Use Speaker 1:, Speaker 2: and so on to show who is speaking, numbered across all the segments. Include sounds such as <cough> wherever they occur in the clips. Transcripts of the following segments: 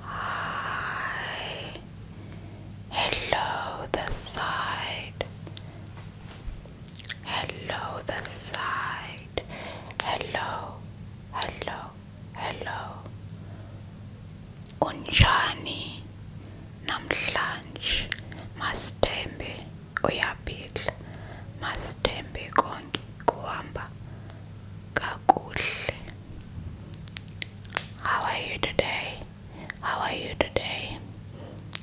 Speaker 1: Hi. Hello, the side. Hello, the side. Hello, hello, hello. Unjani, namhlanje, mastembe, uyaphila, mastembe konke kuhamba kakuhle. How are you today? How are you today?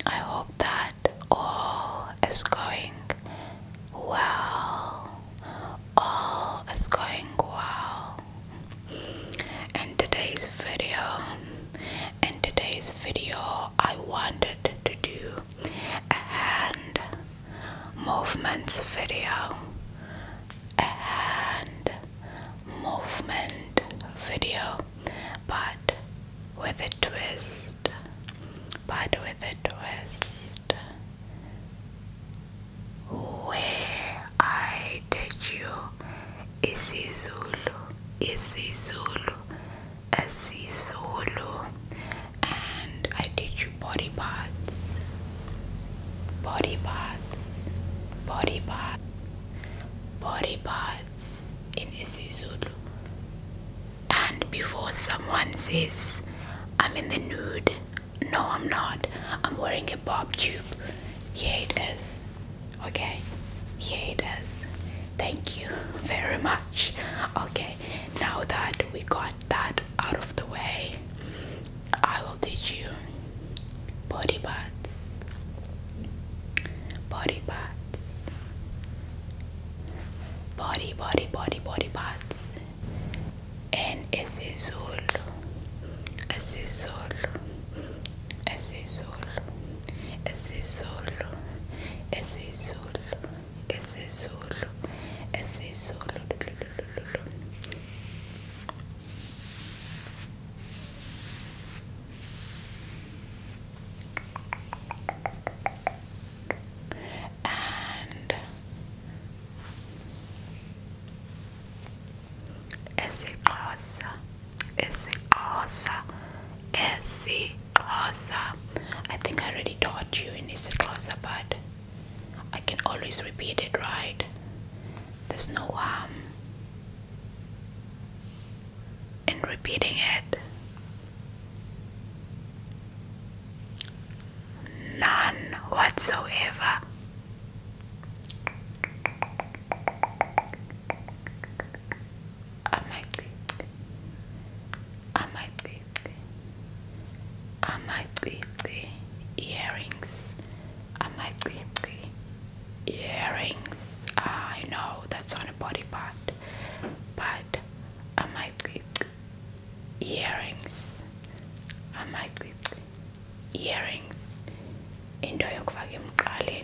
Speaker 1: I hope that all is going well. All is going well. In today's video, in today's video, I wanted to do a hand movements video a hand movement video, but with a twist, but with a twist. Where I teach you isiZulu, isiZulu, isiZulu, and I teach you body parts, body parts, body parts, body parts in isiZulu. And before someone says, I'm in the nude, no, I'm not, I'm wearing a bob tube. Here it is. Okay, here it is. Thank you very much. Okay, now that we got that out of the way, I will teach you body parts, body parts, body, body, body, body parts, and esse solo, esse solo, esse solo, esse solo, esse solo, esse solo, esse solo. And Esikosa, Esikosa, Esikosa. I think I already taught you in closer? but I can always repeat it, right? There's no harm in repeating it. None whatsoever. I might, I might I the earrings I the
Speaker 2: earrings
Speaker 1: ah, I know that's on a body part but I the earrings I the earrings into yokufaka emqaleni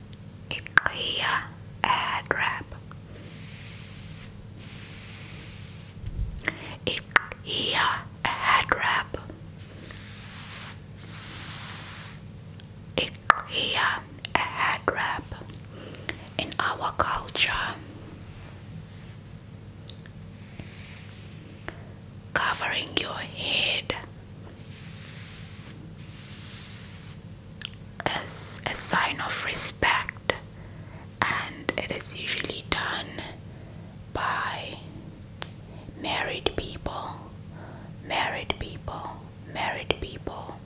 Speaker 1: IKEA head wrap. IKEA head wrap. IKEA head wrap. In our culture, covering your head as a sign of respect, and it is usually done by married people, married people, married people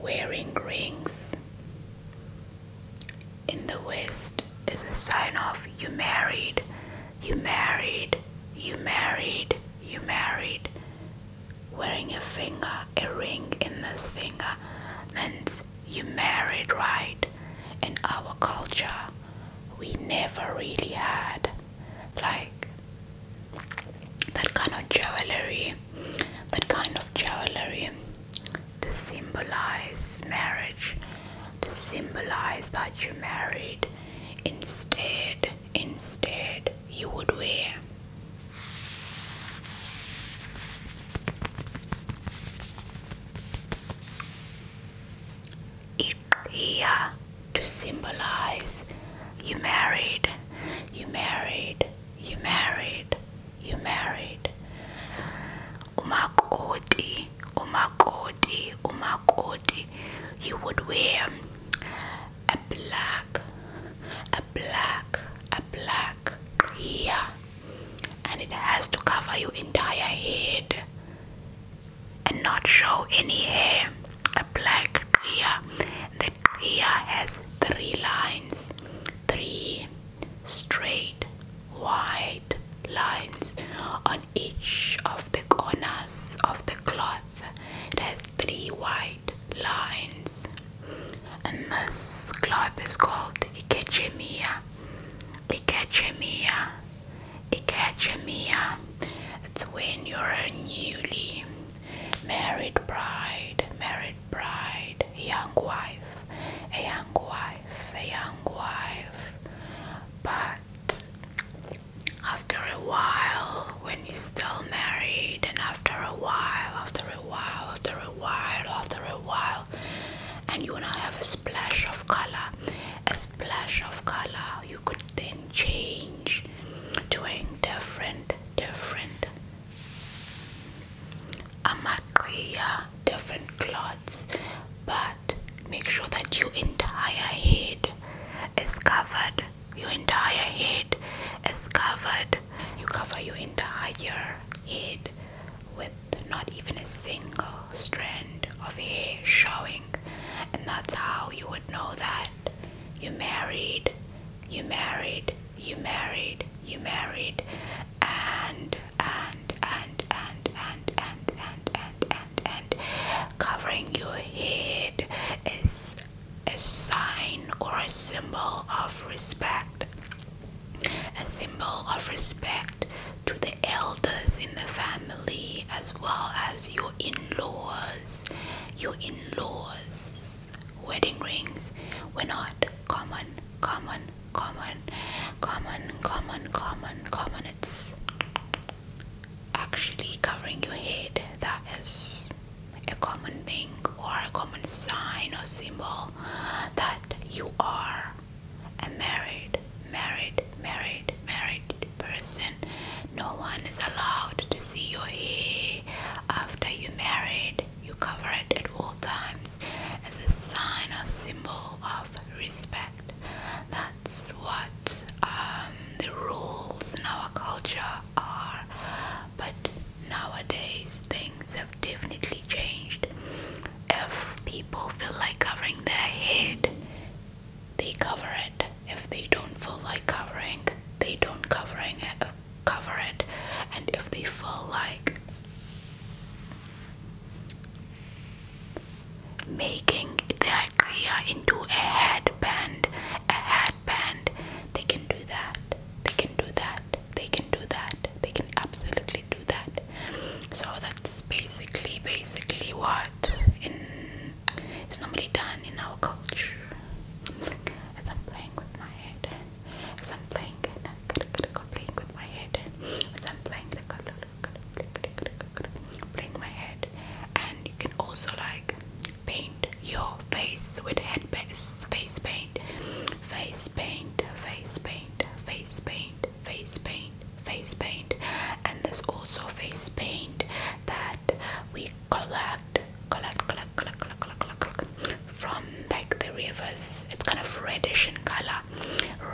Speaker 1: wearing rings. In the West is a sign of you married, you married, you married, you married wearing a finger a ring in this finger and you married right in our culture we never really had like that kind of jewelry that kind of jewelry to symbolize marriage to symbolize that you married instead instead you would wear. It here to symbolize you married, you married, you married, you married. Umakoti, umakoti, umakoti. You would wear a black, a black, a black hair, and it has to cover your entire head and not show any hair. A black hair. The hair has three lines, three straight white lines. I each of the corners of the cloth. has three white lines, and this cloth is called ikechemia. Ikechemia, ikechemia. It's when you're a newly married bride, married bride, young wife, a young wife, a young wife. But after a while, when you're still married, and after a while, after a while, after a while, after a while, and you wanna have a splash of color, a splash of color, you could then change doing different, different amakriya, different clothes, but make sure that your entire head is covered your entire head is covered you cover your entire head with not even a single strand of hair showing and that's how you would know that you married you married you married you married and and and and and and and and and covering your head is a sign or a symbol of respect a symbol of respect to the elders in the family as well as your in-laws your in-laws wedding rings were not common common common common common common common actually covering your head that is a common thing or a common sign or symbol that you are a married married married married person no one is allowed to see your hair after you married you cover it at all times as a sign or symbol of respect that's what um, the rules in our culture are. But nowadays things have definitely changed. If people feel like covering their head, they cover it. If they don't feel like covering, they don't covering it, uh, cover it. And if they feel like making the uh, clear into a headband, a headband. They can do that. They can do that. They can do that. They can absolutely do that. So that's basically, basically what normally done in our culture. As I'm playing with my head, as I'm playing, playing with my head, as I'm playing bring my head and you can also like paint your face with head face paint face paint face paint face paint face paint face paint and there's also face paint that we collect collect collect collect collect collect, collect, collect from like the rivers it's kind of reddish in color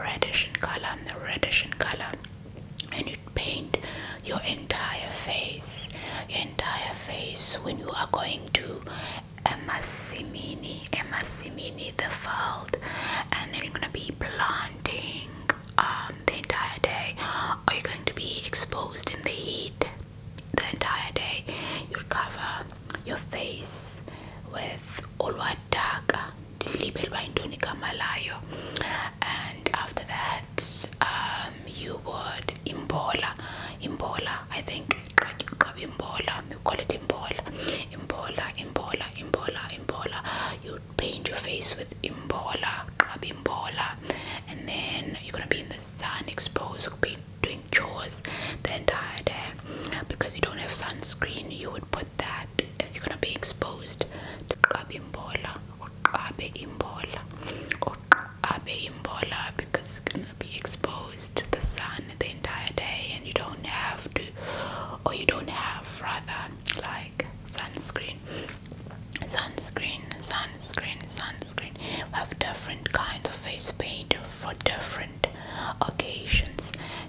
Speaker 1: reddish in color reddish in color and paint your entire face entire face when you are going to emasimini emasimini the field and then you're going to be planting um, the entire day Are you going to be exposed in the heat the entire day you'll cover your face with all what darker Malayo, and after that um, you would embola, embola. I think imbola we call it imbola imbola imbola imbola imbola you paint your face with embola, grab imbola and then you're gonna be in the sun exposed You'll be doing chores the entire day because you don't have sunscreen you would put that if you're gonna be exposed uqabe imbola uqabe imbola uqabe imbola because it's gonna be exposed to the sun the entire day and you don't have to or you don't have rather like sunscreen sunscreen sunscreen sunscreen have different kinds of face paint for different occasions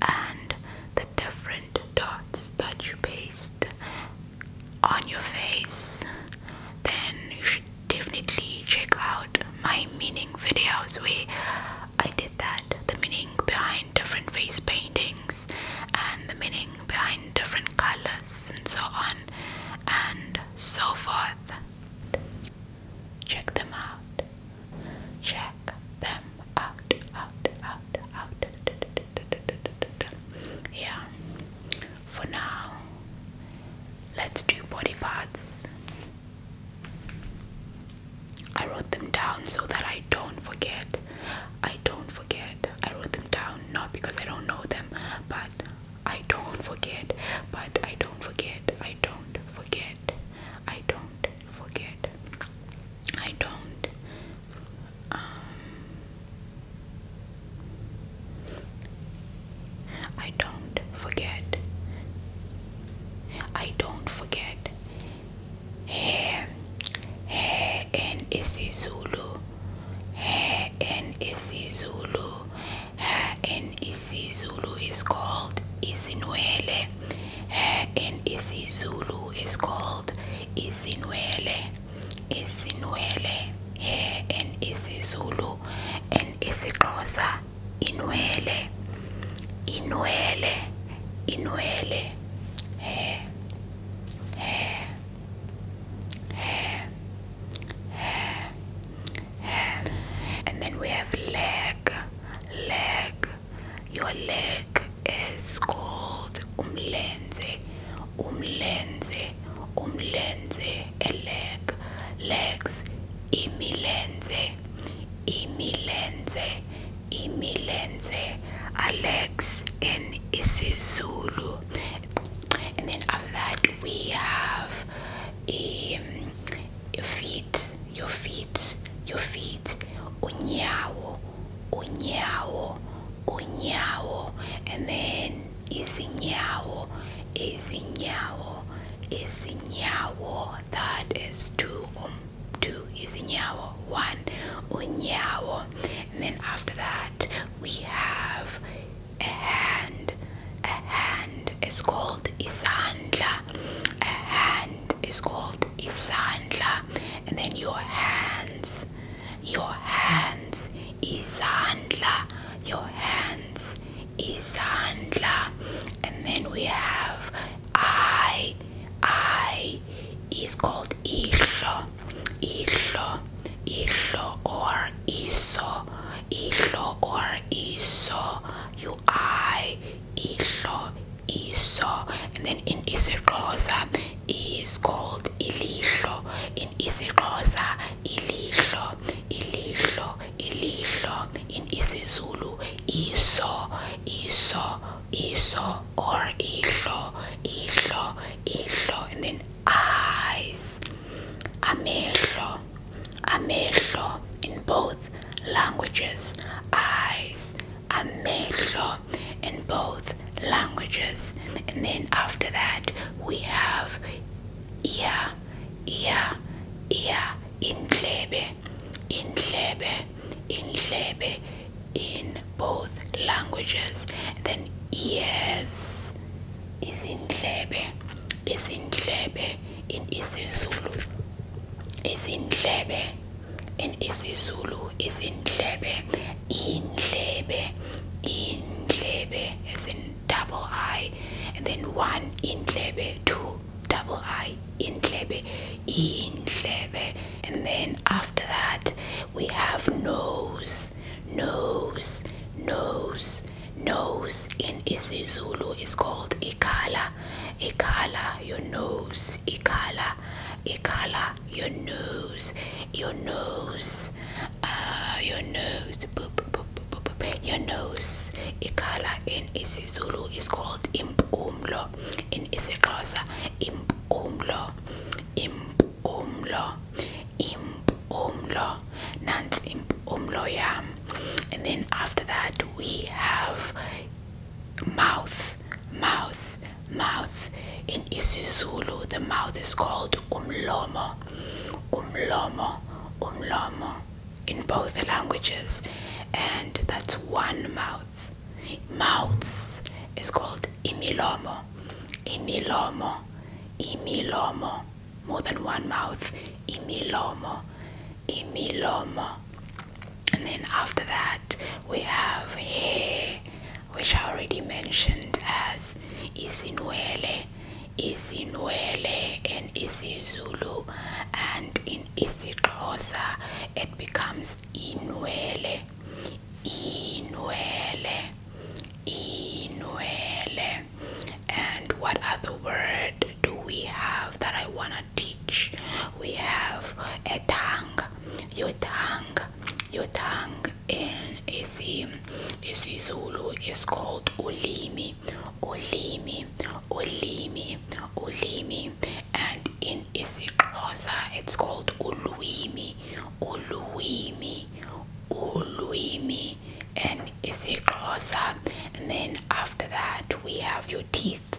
Speaker 1: and the different dots that you paste on your face, then you should definitely check out my meaning videos where I did that the meaning behind different face paintings and the meaning behind different colors and so on and so forth. Check them out. Check them out, out, out, out. Yeah. For now, let's do body parts. I wrote them down so that I don't forget. I don't forget. I wrote them down not because I don't know them, but I don't forget. But I don't forget. I don't forget. I don't forget. I don't um I don't forget I don't forget hair hair and isiZulu hair and isiZulu hair Zulu is called isinwele in isiZulu is called isinwele isinwele hair in isiZulu and isiKosa inwele inwele inwele hair hair hair hair and then we have leg leg your leg is called umlenze, umlenze, umlenze, a leg, legs, imilenze, imilenze, imilenze, a legs in isiZulu. And then after that we have um, a, a your feet, your feet, unyawo, unyawo, unyawo, and then izinyawo, izinyawo, izinyawo. That is two, um, two izinyawo, one unyawo, and then after that we have a hand. A hand is called isandla. A hand is called isandla and then your hands your hands izandla your hands izandla and then we have i i is called isho isho isho or iso isho or iso you I, Isho, Isho, and then in isiXhosa it's called Ilisho. In isiXhosa, Ilisho, Ilisho, Ilisho. In isiZulu, Iso, Iso, Iso, or Isho, Isho, Isho, and then eyes, Amesho, Amesho. In both languages, eyes amehlo in both languages. And then after that, we have ear, ear, ear, inklebe, in inklebe in both languages. then ears is in inklebe, is in inklebe in isiZulu, is in inklebe in isiZulu izindlebe indlebe in as in is in double i and then one in indlebe two double i in in indlebe and then after that we have nose nose nose nose in isiZulu is called ikala. Ikala, your nose. Ikala, Ikala, your nose. Your nose. Uh, your nose. Boop, boop, boop, boop, boop. Your nose. Ikala in isiZulu is called impumlo. In isiXhosa, impumlo. Impumlo. Impumlo. Nans impumlo yam. And then after that, we have mouth, mouth, mouth. In isiZulu, the mouth is called umlomo, umlomo, umlomo. In both languages, and that's one mouth. Mouths is called imilomo, imilomo, imilomo. More than one mouth, imilomo. Imiloma. And then after that, we have hair, which I already mentioned as Isinwele, Isinwele, and isiZulu, and in isiXhosa it becomes Inwele, Inwele, Inwele. And what other word do we have that I want to teach? We have a tongue. Your tongue, your tongue in isi isiZulu is called ulimi, ulimi, ulimi, ulimi, and in isiXhosa it's called ulwimi, ulwimi, ulwimi, and isiXhosa. And then after that we have your teeth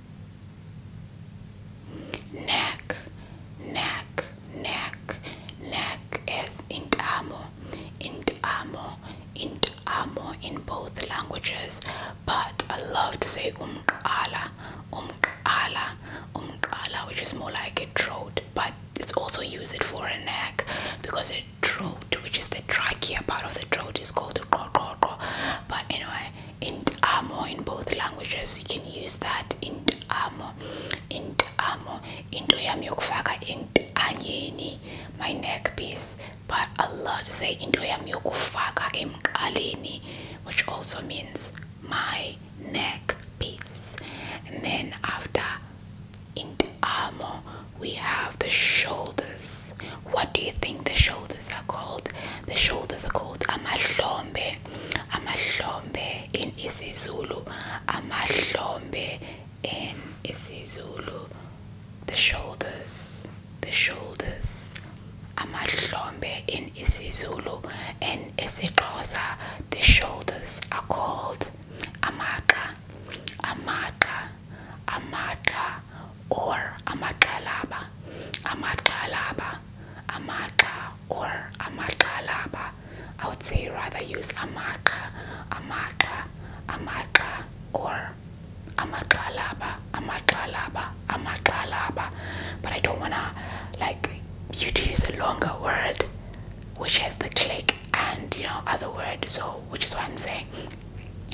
Speaker 1: neck neck neck neck is intamo intamo intamo in both languages but i love to say umqala umqala umqala which is more like a throat but it's also used for a neck because a throat which is the trachea part of the throat is called the but anyway in armor in both languages you can use that in armor in armor into yami yokufaka in anyeni my neck piece but a lot say into yami yokufaka emqaleni which also means my neck piece and then after in armor we have the shoulders what do you think the shoulders are called? The shoulders are called amahlombe. Amahlombe in isiZulu. Amahlombe in isiZulu. The shoulders. The shoulders. Amahlombe in isiZulu In isiXhosa. The shoulders are called amaka, amaka, amaka or amakalaba, amakalaba, amaka or amakalaba. I would say rather use amaka, amaka, amaka or amakalaba, amakalaba, amakalaba. But I don't wanna like you to use a longer word which has the click and you know other word so which is what I'm saying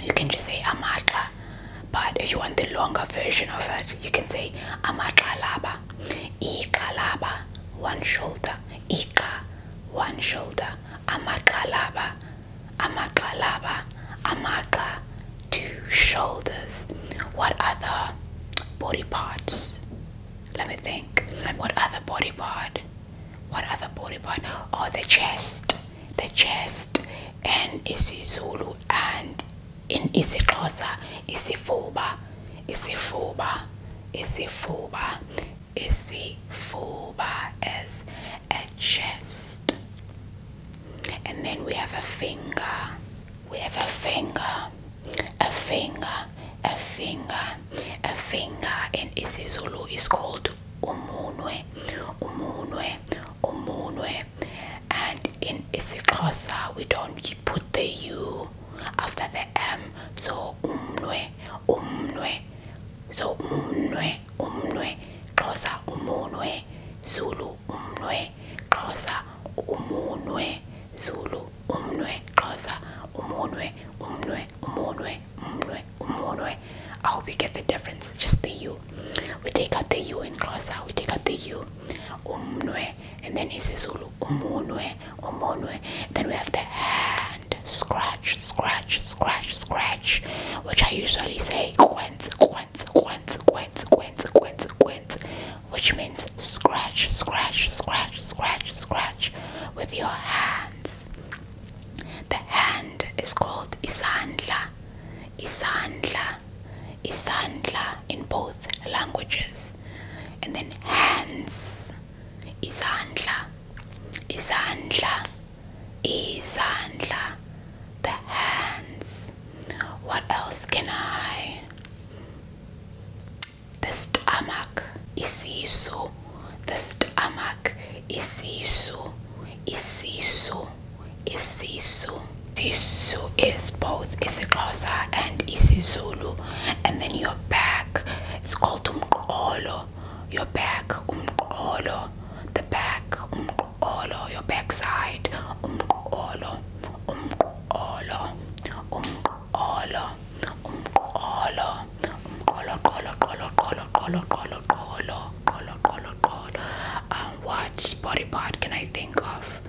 Speaker 1: you can just say amatla but if you want the longer version of it you can say amaxalaba ikalaba, one shoulder iqa one shoulder amaxalaba amaxalaba amaka, two shoulders what other body parts let me think what other body part what other body part oh the chest the chest and isiZulu and in isiXhosa isifuba isifuba isifuba isifuba as a chest and then we have a finger we have a finger a finger a finger a finger in isiZulu is called umunwe umunwe umunwe and in isiXhosa we don't put the u after the m so umunwe, umunwe, so umunwe, umunwe, xhosa umunwe zulu umunwe, xhosa umunwe zulu umunwe, xhosa umunwe umnwe umunwe umrwe, umurwe. I hope you get the difference. Just the U. We take out the U in out. We take out the U. Umnwe. And then he it's Zulu. Umunwe, umunwe. Then we have the hand. Scratch, scratch, scratch, scratch. Which I usually say quenz, quenz, quenz, quenz, quenz, quenz, quenz. Which means scratch, scratch, scratch, scratch, scratch with your hands. The hand is called isandla, isandla, isandla in both languages. And then hands, isandla, isandla, isandla, the hands. What else can I? The stomach, isisu, the stomach isisu isisu isisu isisu is both isiXhosa and isiZulu and then your back it's called umqolo your back umqolo the back umqolo your backside umqolo umqolo umqolo umqolo um, what body part can I think of?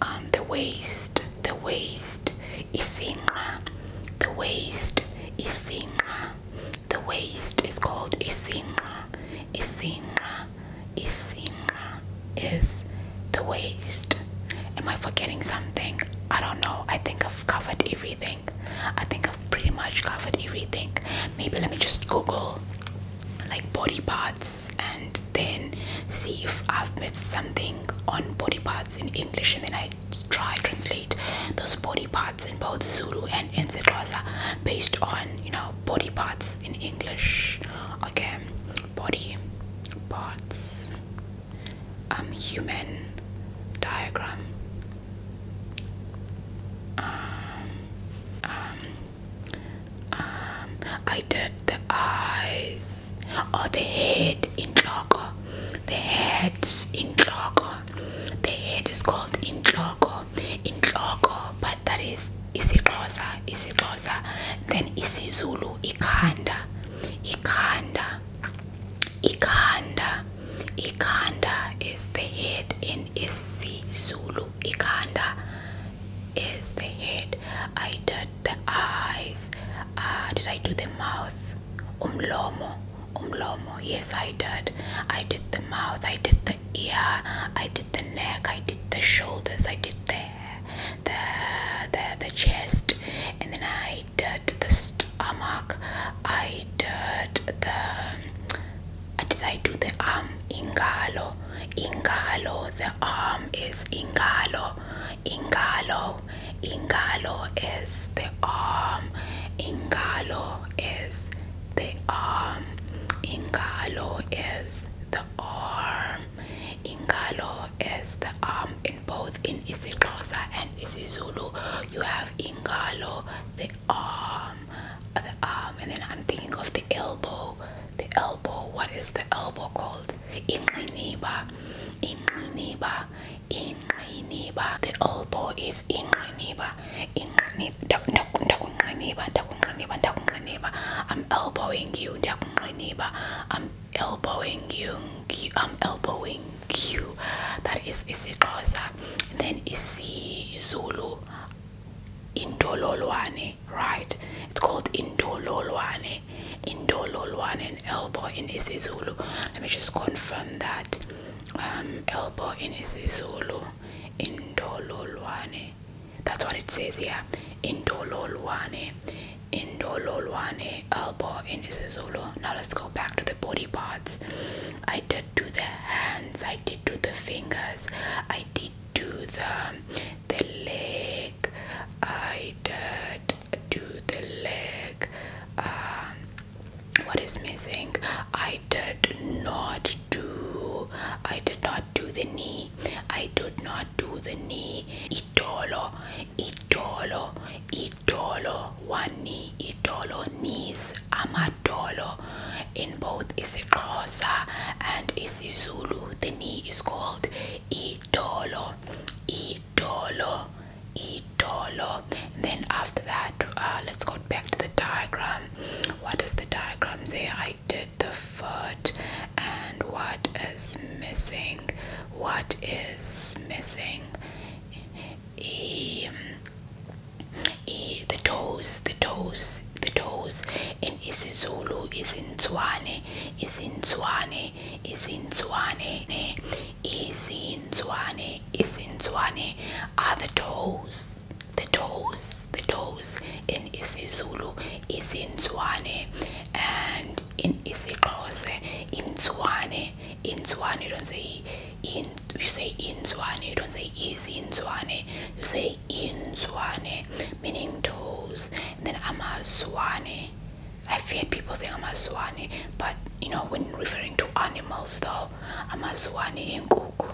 Speaker 1: Um, the waist, the waist is the waist is the waist is called isinga, isinga, isinga is the waist. Am I forgetting something? I don't know. I think I've covered everything. I think I've pretty much covered everything. Maybe let me just Google like body parts and then see if I've missed something on body parts in English and then I try translate those body parts in both Zulu and Nzexhosa based on you know body parts in English. Okay, body parts um human diagram I did the eyes or oh, the head in Choco. The head in Choco. The head is called in Choco. In Choco, but that is isiXhosa, isiXhosa, then isiZulu, iKanda, iKanda, iKanda. Ikanda is the head in Zulu. Ikanda is the head. I did the eyes. Ah, did I do the mouth? Umlomo. Umlomo. Yes, I did. I did the mouth. I did the ear. I did the neck. I did the shoulders. I did the the the, the chest. And then I did the arm I did the did I do the arm ingalo ingalo the arm is ingalo ingalo ingalo is the arm ingalo is the arm ingalo is the arm ingalo is the arm in both in isiXhosa and isiZulu you have ingalo the arm, uh, the arm, and then I'm thinking of the elbow. The elbow, what is the elbow called? Inqiniba, inqiniba, inqiniba. The elbow is inqiniba, inqiniba, ndakunqiniba, ndakunqiniba, ndakunqiniba. I'm elbowing you, ndakunqiniba. I'm elbowing you, I'm elbowing Q that is isiXhosa and then isiZulu indololwane right it's called indololwane indololwane and elbow in isiZulu let me just confirm that um, elbow in isiZulu indololwane that's what it says here indololwane indololwane elbow in isiZulu now let's go back to the body parts I did do the hands, I did do the fingers, I did do the the leg, I did do the leg. Um, what is missing? I did not do. I did not do the knee. I did not do the knee. Itolo, itolo, itolo idolo one knee itolo, knees amadolo in both isiXhosa and Zulu. the knee is called itolo, itolo, itolo. and then after that uh, let's go back to the diagram what does the diagram say I did the foot and what is missing what is missing eh, eh, the toes, the toes, the toes, and isiZulu is in Tswane, is in Tswane, is in Tswane, is in Tswane, is in Tswane are the toes, the toes, the toes in isiZulu is in Tswane and in isiXhosa in Tswane inzwane. You don't say in. You say inzwane. You don't say is inzwane. You say inzwane, meaning toes. And then amazwane. I've heard people say amazwane, but you know when referring to animals though, amazwane enkuku.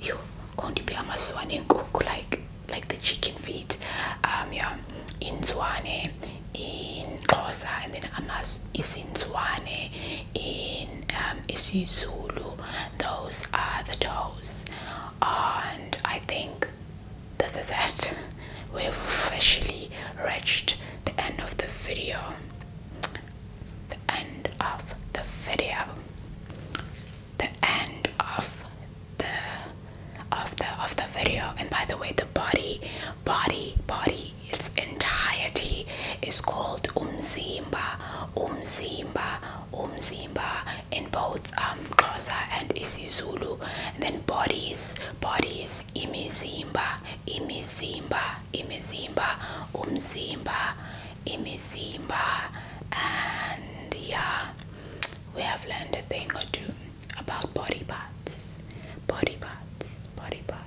Speaker 1: You can't be amazwane enkuku like like the chicken feet. Um, yeah, inzwane in Xhosa and then Amaz isiNzwane in um, isiZulu those are the toes and I think this is it <laughs> we've officially reached the end of the video the end of the video the end of the of the of the video and by the way the body body body its entirety is called umzimba umzimba umzimba in both um and isiZulu and then bodies bodies imizimba imizimba imizimba umzimba imizimba and yeah we have learned a thing or two about body parts body parts body parts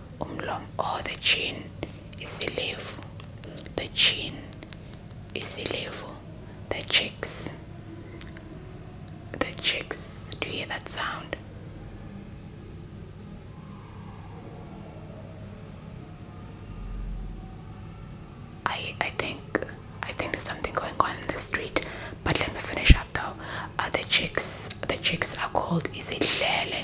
Speaker 1: umlom or oh, the chin isilevu the chin isilevu the cheeks the cheeks do you hear that sound I I think I think there's something going on in the street but let me finish up though uh, the chicks the chicks are called isidlele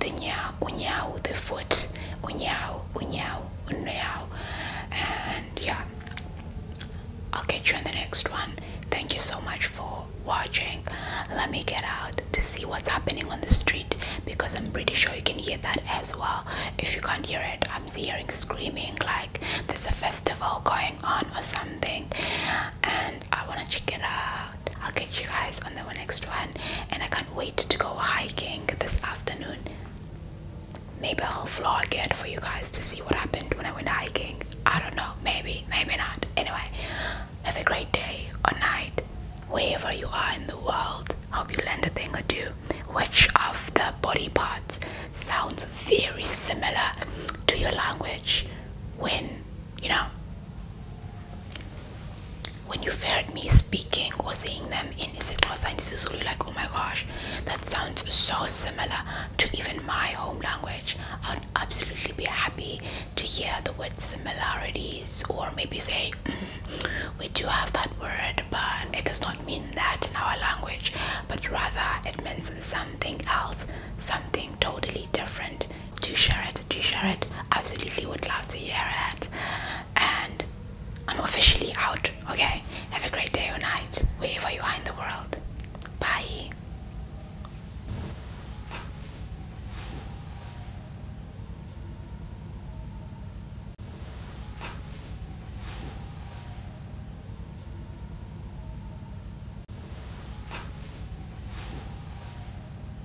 Speaker 1: the nyao, unyao, the foot, unyao, unyao, unyao. And yeah, I'll catch you in the next one. Thank you so much for watching. Let me get out to see what's happening on the street because I'm pretty sure you can hear that as well. If you can't hear it, I'm hearing screaming like there's a festival going on or something, and I want to check it out. I'll catch you guys on the next one, and I can't wait to go hiking this afternoon. Maybe I'll vlog again for you guys to see what happened when I went hiking. I don't know, maybe, maybe not. Anyway, have a great day or night, wherever you are in the world. Hope you learned a thing or two. Which of the body parts sounds very similar to your language when you know when you've heard me speaking or seeing them in isiXhosa and isiZulu, like, oh my gosh, that sounds so similar to even my home language, I'd absolutely be happy to hear the word similarities or maybe say, <clears throat> we do have that word, but it does not mean that in our language, but rather it means something else, something totally different. To share it it, do share it? Absolutely would love to hear it. And I'm officially out. Okay. Have a great day or night, wherever you are in the world. Bye.